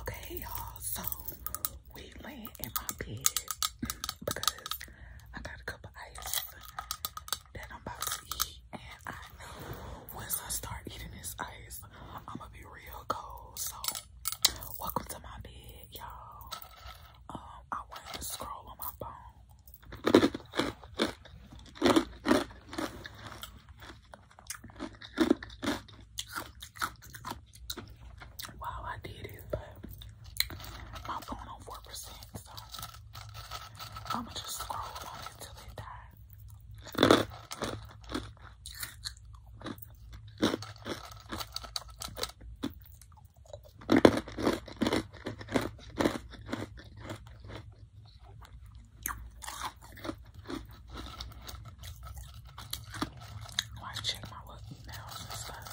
Okay, y'all, so we laying in my bed because I got a cup of ice that I'm about to eat. And I know once I start eating this ice, I'm gonna be real cold. So, welcome to my bed, y'all. Um, I wanted to scroll on my phone. Wow, I did it, but my phone on 4%, so I'm gonna just scroll on it till it dies. Why check my little emails and stuff?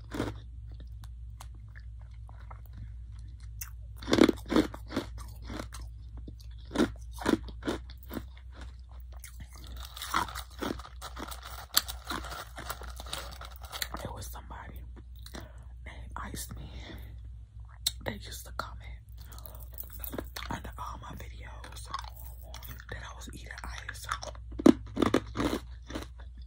It was somebody named Ice Man that used to comment under all my videos that I was eating ice.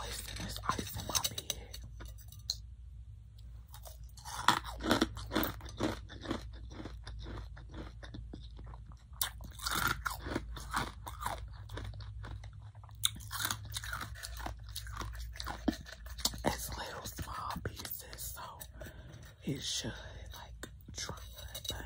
wasting this ice on my bed. It's little small pieces, so it should like dry, but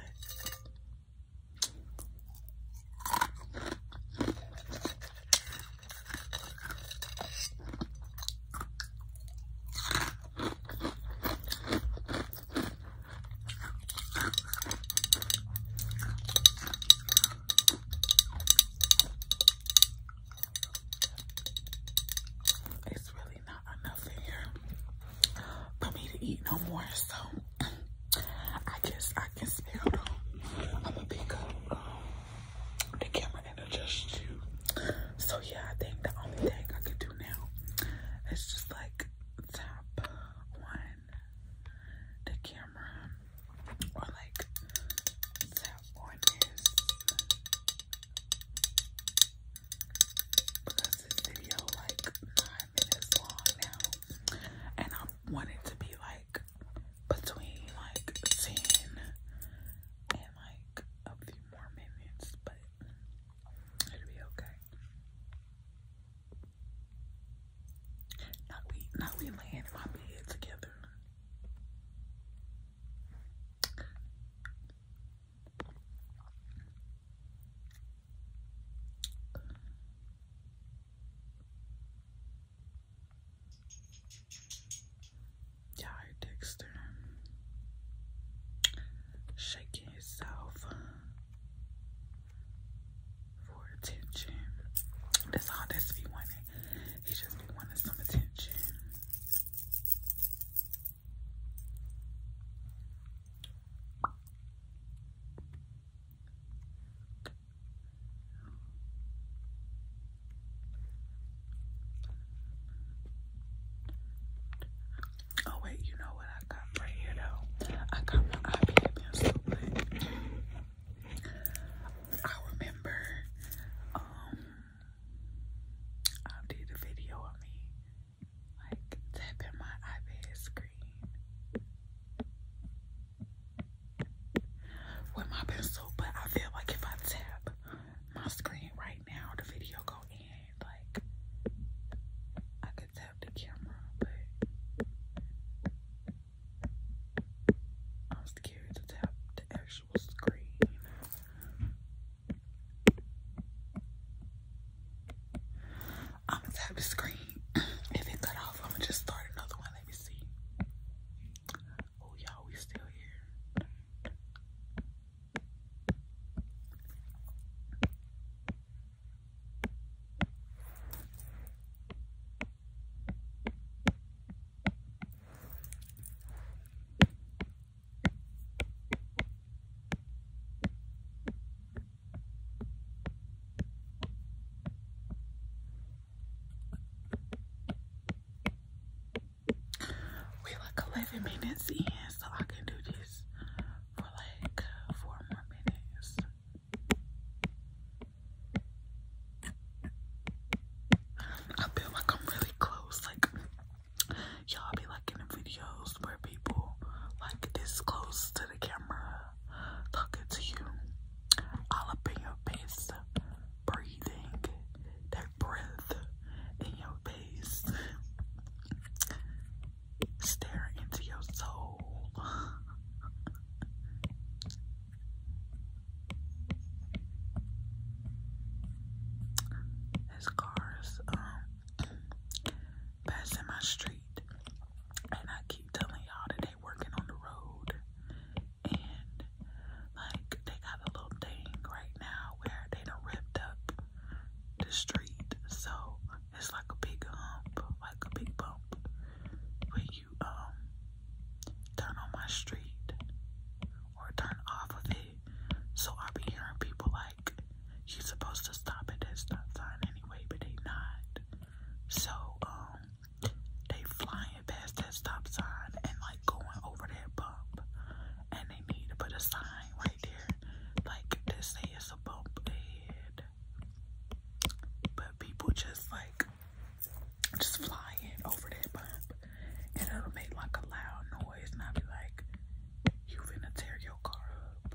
it's really not enough in here for me to eat no more, so I guess I can smell them. I'm gonna pick up the camera and adjust you. So yeah, I think the only thing I can do now is just like tap on the camera or like tap on this because this video like five minutes long now. And I want it to be like between like 10 and like a few more minutes, but it'll be okay. Now we now we laying my bed together. Yeah, Dexter shaking himself for attention. That's all that's be wanting. He just be some attention. Oh wait, you know what I got right here though? I got my iPad pencil, I remember um I did a video of me like tapping my iPad screen with my pencil, but I feel like if I tap my screen right now, the video go end. Like I could tap the camera, but I'm scared to tap the actual screen. I'm gonna tap the screen. if it cut off, I'm gonna just start another one. Let me see. Oh, y'all, we still here. We like 11 minutes in, so I can do this for like uh, four more minutes. I feel like I'm really close, like y'all be liking the videos where people like this close to the camera talking to you all up in your face breathing that breath in your face staring into your soul his cars um passing my street, and I keep telling y'all that they working on the road, and like they got a little thing right now where they ripped up the street, so it's like a big hump, like a big bump, when you um turn on my street or turn off of it. So I be hearing people like you're supposed to stop at that stop sign anyway, but they not. So, um, they flying past that stop sign and like going over that bump. And they need to put a sign right there, like this say it's a bump ahead. But people just like, just flying over that bump. And it'll make like a loud noise ways, and I'll be like, you finna tear your car up.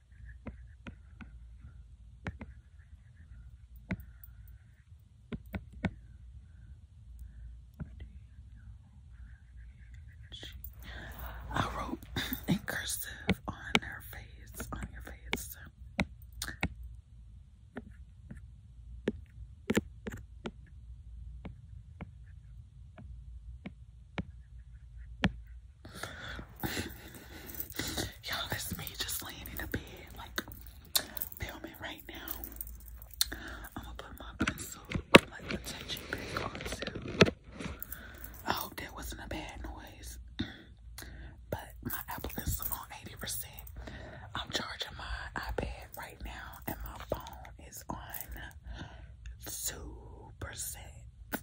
I wrote in cursive on her face, on your face. Y'all, that's me just laying in a bed, like, filming right now. I'm gonna put my pencil, like, protection back on, I hope that wasn't a bad noise. but my Apple is on 80%. I'm charging my iPad right now, and my phone is on 2%.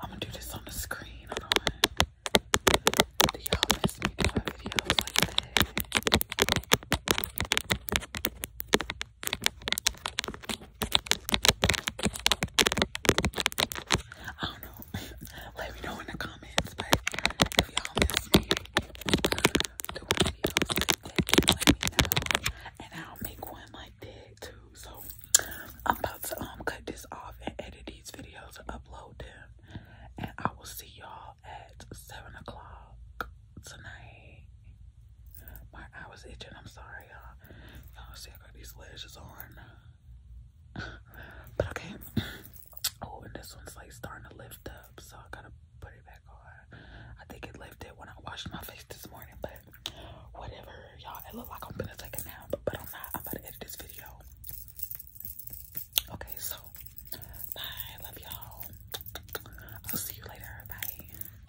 I'm gonna do this on the screen. Hold on. Do y'all miss me doing videos like that? I don't know. Let me know in the comments, but if y'all miss me doing videos, let me know, and I'll make one like that too. So I'm about to um cut this off and edit these videos and upload them, and I will see y'all at seven o'clock tonight. My eye was itching. I'm sorry, y'all. Y'all see, I got these lashes on. but okay. Oh, and this one's like starting to lift up, so I gotta put it back on. I think it lifted when I washed my face this morning, but whatever, y'all. It looked like I'm gonna take a nap, but I'm not. I'm about to edit this video. Okay, so bye. Love y'all. I'll see you later. Bye.